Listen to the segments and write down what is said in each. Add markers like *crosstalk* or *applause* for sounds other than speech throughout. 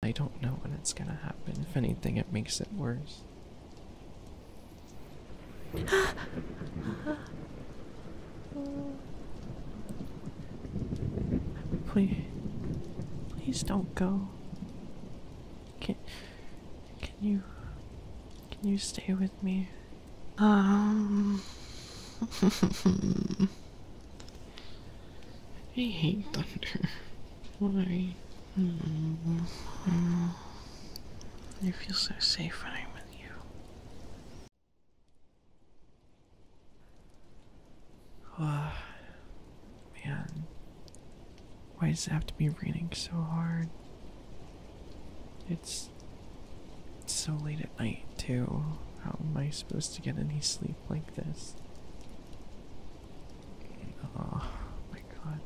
I don't know when it's gonna happen. If anything, it makes it worse. *gasps* please, please don't go. Can, can you, can you stay with me? Um. *laughs* I hate thunder. Why? I feel so safe when I'm with you. Oh, man. Why does it have to be raining so hard? it's so late at night, too. How am I supposed to get any sleep like this? Oh my god.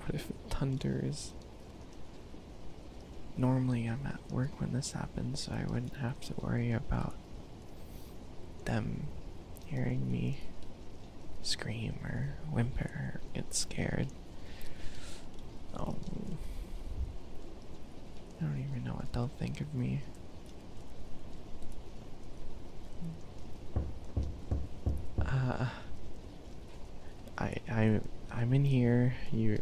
What if it thunders? Normally I'm at work when this happens, so I wouldn't have to worry about them hearing me scream or whimper or get scared. Um, I don't even know what they'll think of me. Uh, I I I'm in here. You,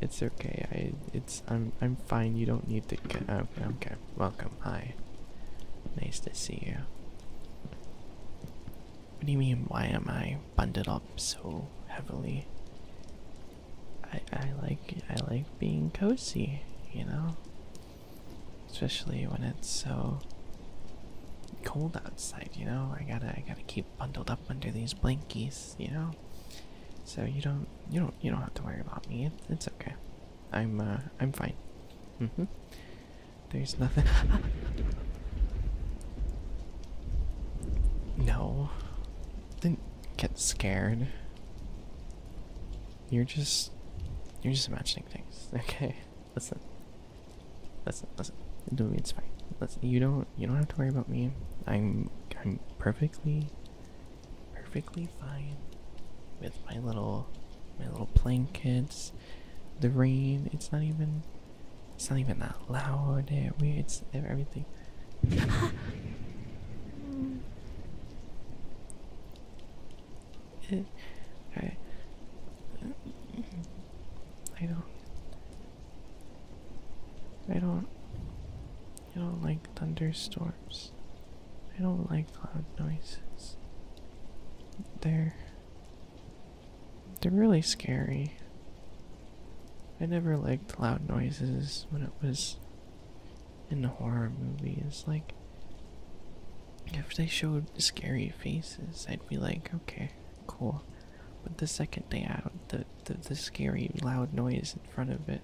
it's okay. I it's I'm I'm fine. You don't need to. Get, okay, okay. Welcome. Hi. Nice to see you. What do you mean? Why am I bundled up so heavily? I I like I like being cozy, you know. Especially when it's so cold outside, you know. I gotta I gotta keep bundled up under these blankies, you know. So you don't you don't you don't have to worry about me. It, it's okay. I'm uh, I'm fine. Mm-hmm. There's nothing. *laughs* no, didn't get scared. You're just you're just imagining things. *laughs* Okay. Listen. Listen, listen. Do me it's fine. Listen you don't you don't have to worry about me. I'm I'm perfectly perfectly fine with my little my little blankets, the rain, it's not even it's not even that loud. It, we, it's everything I, I don't, I don't, I don't like thunderstorms. I don't like loud noises. They're, they're really scary. I never liked loud noises when it was in the horror movie is like if they showed scary faces, I'd be like, okay, cool. But the second they out the, the the scary loud noise in front of it,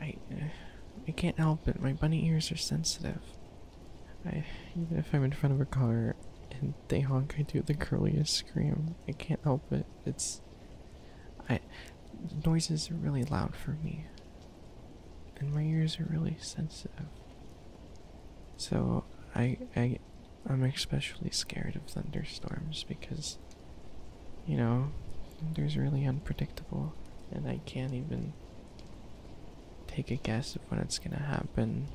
I eh, I can't help it. My bunny ears are sensitive. I even if I'm in front of a car and they honk, I do the curliest scream. I can't help it. It's I noises are really loud for me, and my ears are really sensitive. So I I I'm especially scared of thunderstorms because you know thunder's really unpredictable, and I can't even take a guess of when it's gonna happen.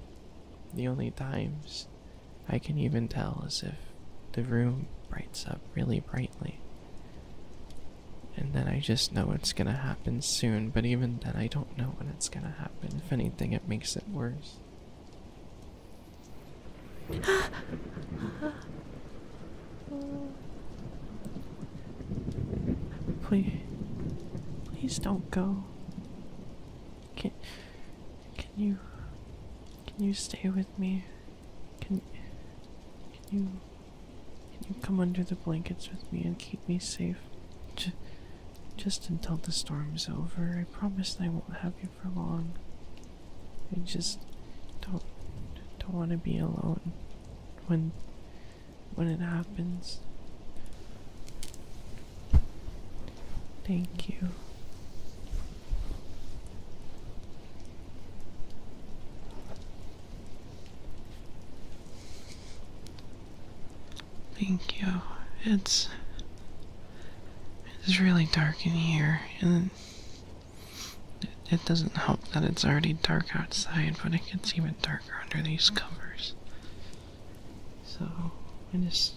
The only times I can even tell as if the room brights up really brightly. And then I just know it's gonna happen soon, but even then, I don't know when it's gonna happen. If anything, it makes it worse. *gasps* please, please don't go. Can you can you stay with me? Can can you can you come under the blankets with me and keep me safe? just until the storm is over. I promise I won't have you for long. I just don't don't want to be alone when when it happens. Thank you. Thank you. It's it's really dark in here, and it, doesn't help that it's already dark outside, but it gets even darker under these covers. So I just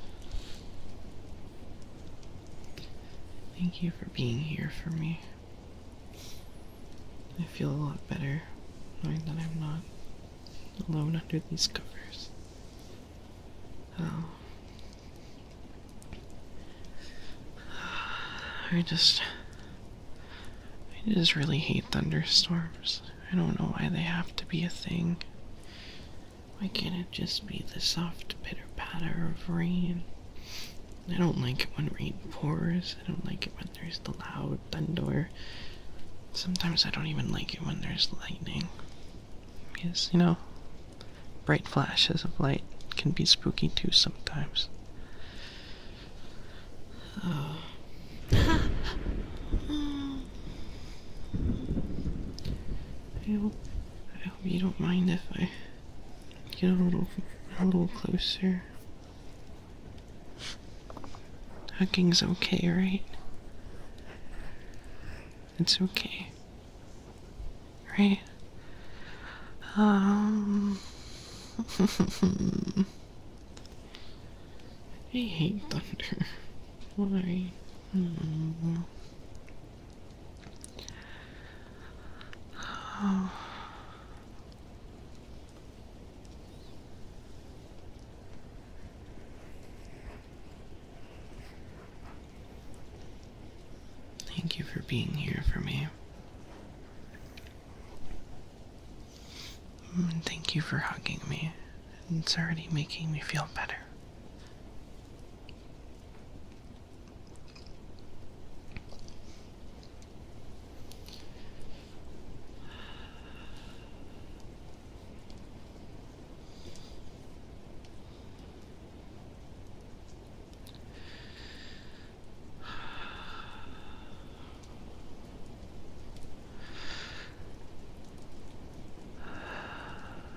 Thank you for being here for me. I feel a lot better knowing that I'm not alone under these covers. Oh. *sighs* I just. I just really hate thunderstorms. I don't know why they have to be a thing. Why can't it just be the soft pitter patter of rain? I don't like it when rain pours. I don't like it when there's the loud thunder. Sometimes I don't even like it when there's lightning. Yes, you know, bright flashes of light can be spooky too sometimes. Uh. *sighs* *sighs* I I hope you don't mind if I get a little a little closer. Hugging's okay, right? It's okay. Right? Um *laughs* I hate thunder. Why? Hmm. Thank you for being here for me. Mm, thank you for hugging me and it's already making me feel better. *sighs* *sighs*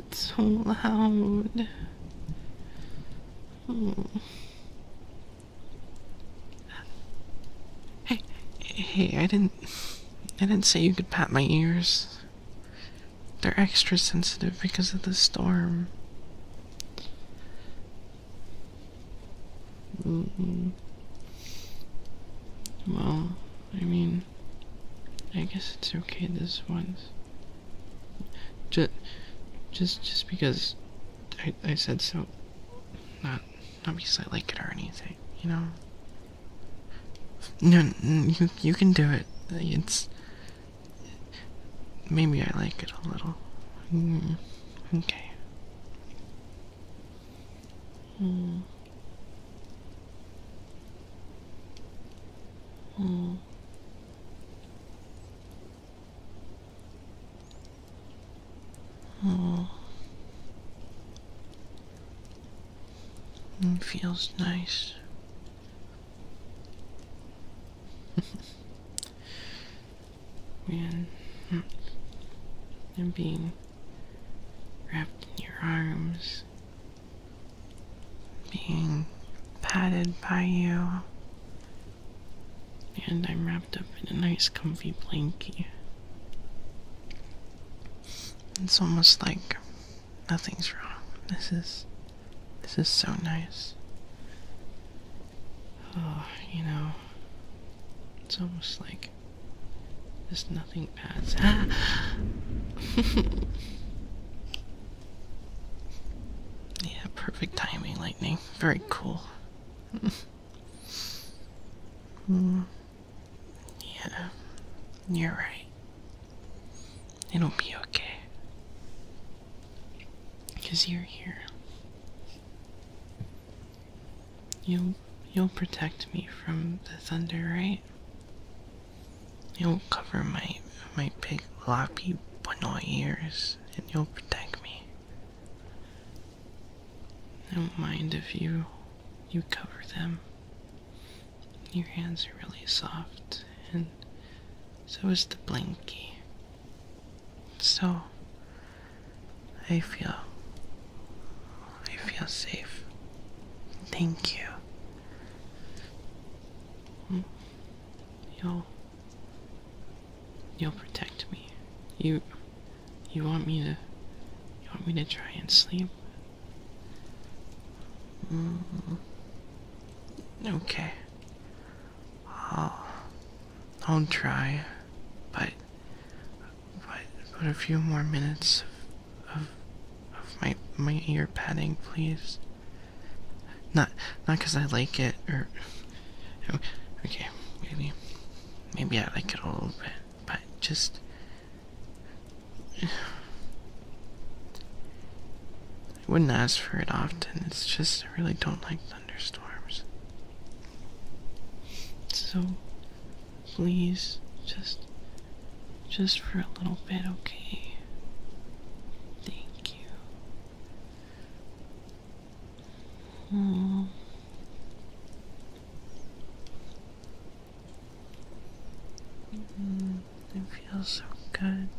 it so loud? Hmm. Hey, hey, I didn't, I didn't say you could pat my ears. They're extra sensitive because of the storm. Mm-hmm. Well, I mean, I guess it's okay. This one's just just just because I I said so. Not not because I like it or anything, you know. No, you you can do it. It's maybe I like it a little. Mm, okay. Mm. Mm. Mm. It feels nice. *laughs* Man, and hmm. being wrapped in your arms, being patted by you, and I'm wrapped up in a nice comfy blanket. It's almost like nothing's wrong. This is this is so nice. Oh, you know, it's almost like there's nothing bad. *gasps* yeah, perfect timing, lightning. Very cool. *laughs* Hmm. Yeah, you're right. It'll be okay. Because you're here. You'll, you'll protect me from the thunder, right? You'll cover my my big floppy bunny ears and you'll protect me. I don't mind if you you cover them. Your hands are really soft and so is the blankie. So I feel I feel safe. Thank you. Mm. You'll You'll protect me. You you want me to you want me to try and sleep? Mm. Okay. I'll, I'll try, but but, but a few more minutes of, of, my, my ear padding, please. Not, not because I like it, or... Okay, maybe, maybe I like it a little bit, but just... I wouldn't ask for it often, it's just I really don't like thunderstorms. So, please, just just for a little bit, okay? Thank you. Hmm. Hmm, it feels so good.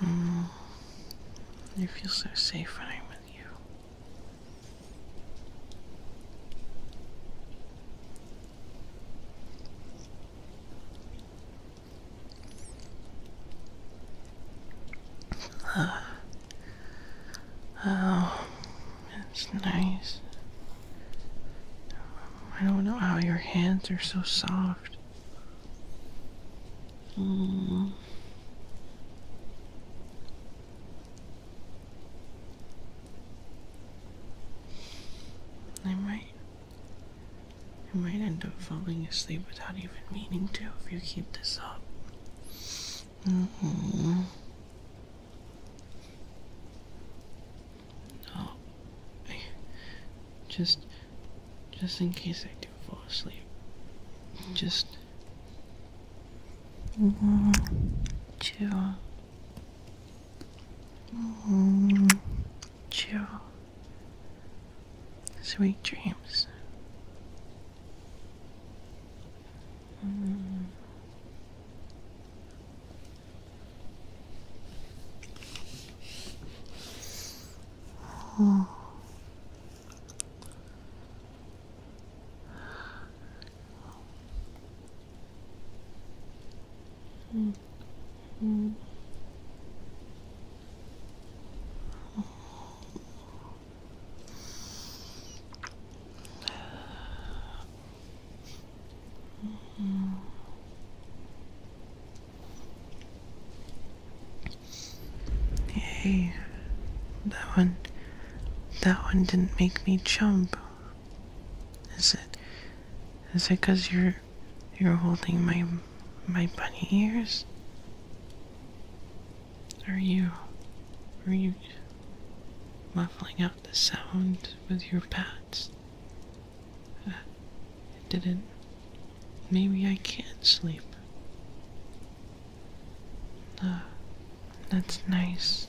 Mm. I feel so safe when I'm with you. Oh, it's nice. I don't know how your hands are so soft. Mm. I might you might end up falling asleep without even meaning to if you keep this up. Mm-hmm. No. just just in case I do fall asleep. Just mm -hmm. Mm, chill. Sweet dreams. Oh. Mm -hmm. Hey, that one, that one didn't make me jump. Is it? Is it because you're you're holding my my bunny ears? Are you are you muffling out the sound with your pats? Uh, it Maybe I can't sleep. Uh, that's nice.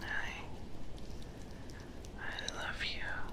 I I love you.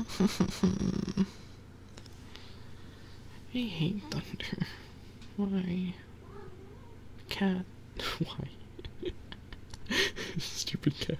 I hate thunder. Why? Cat. *laughs* Why? *laughs* Stupid cat.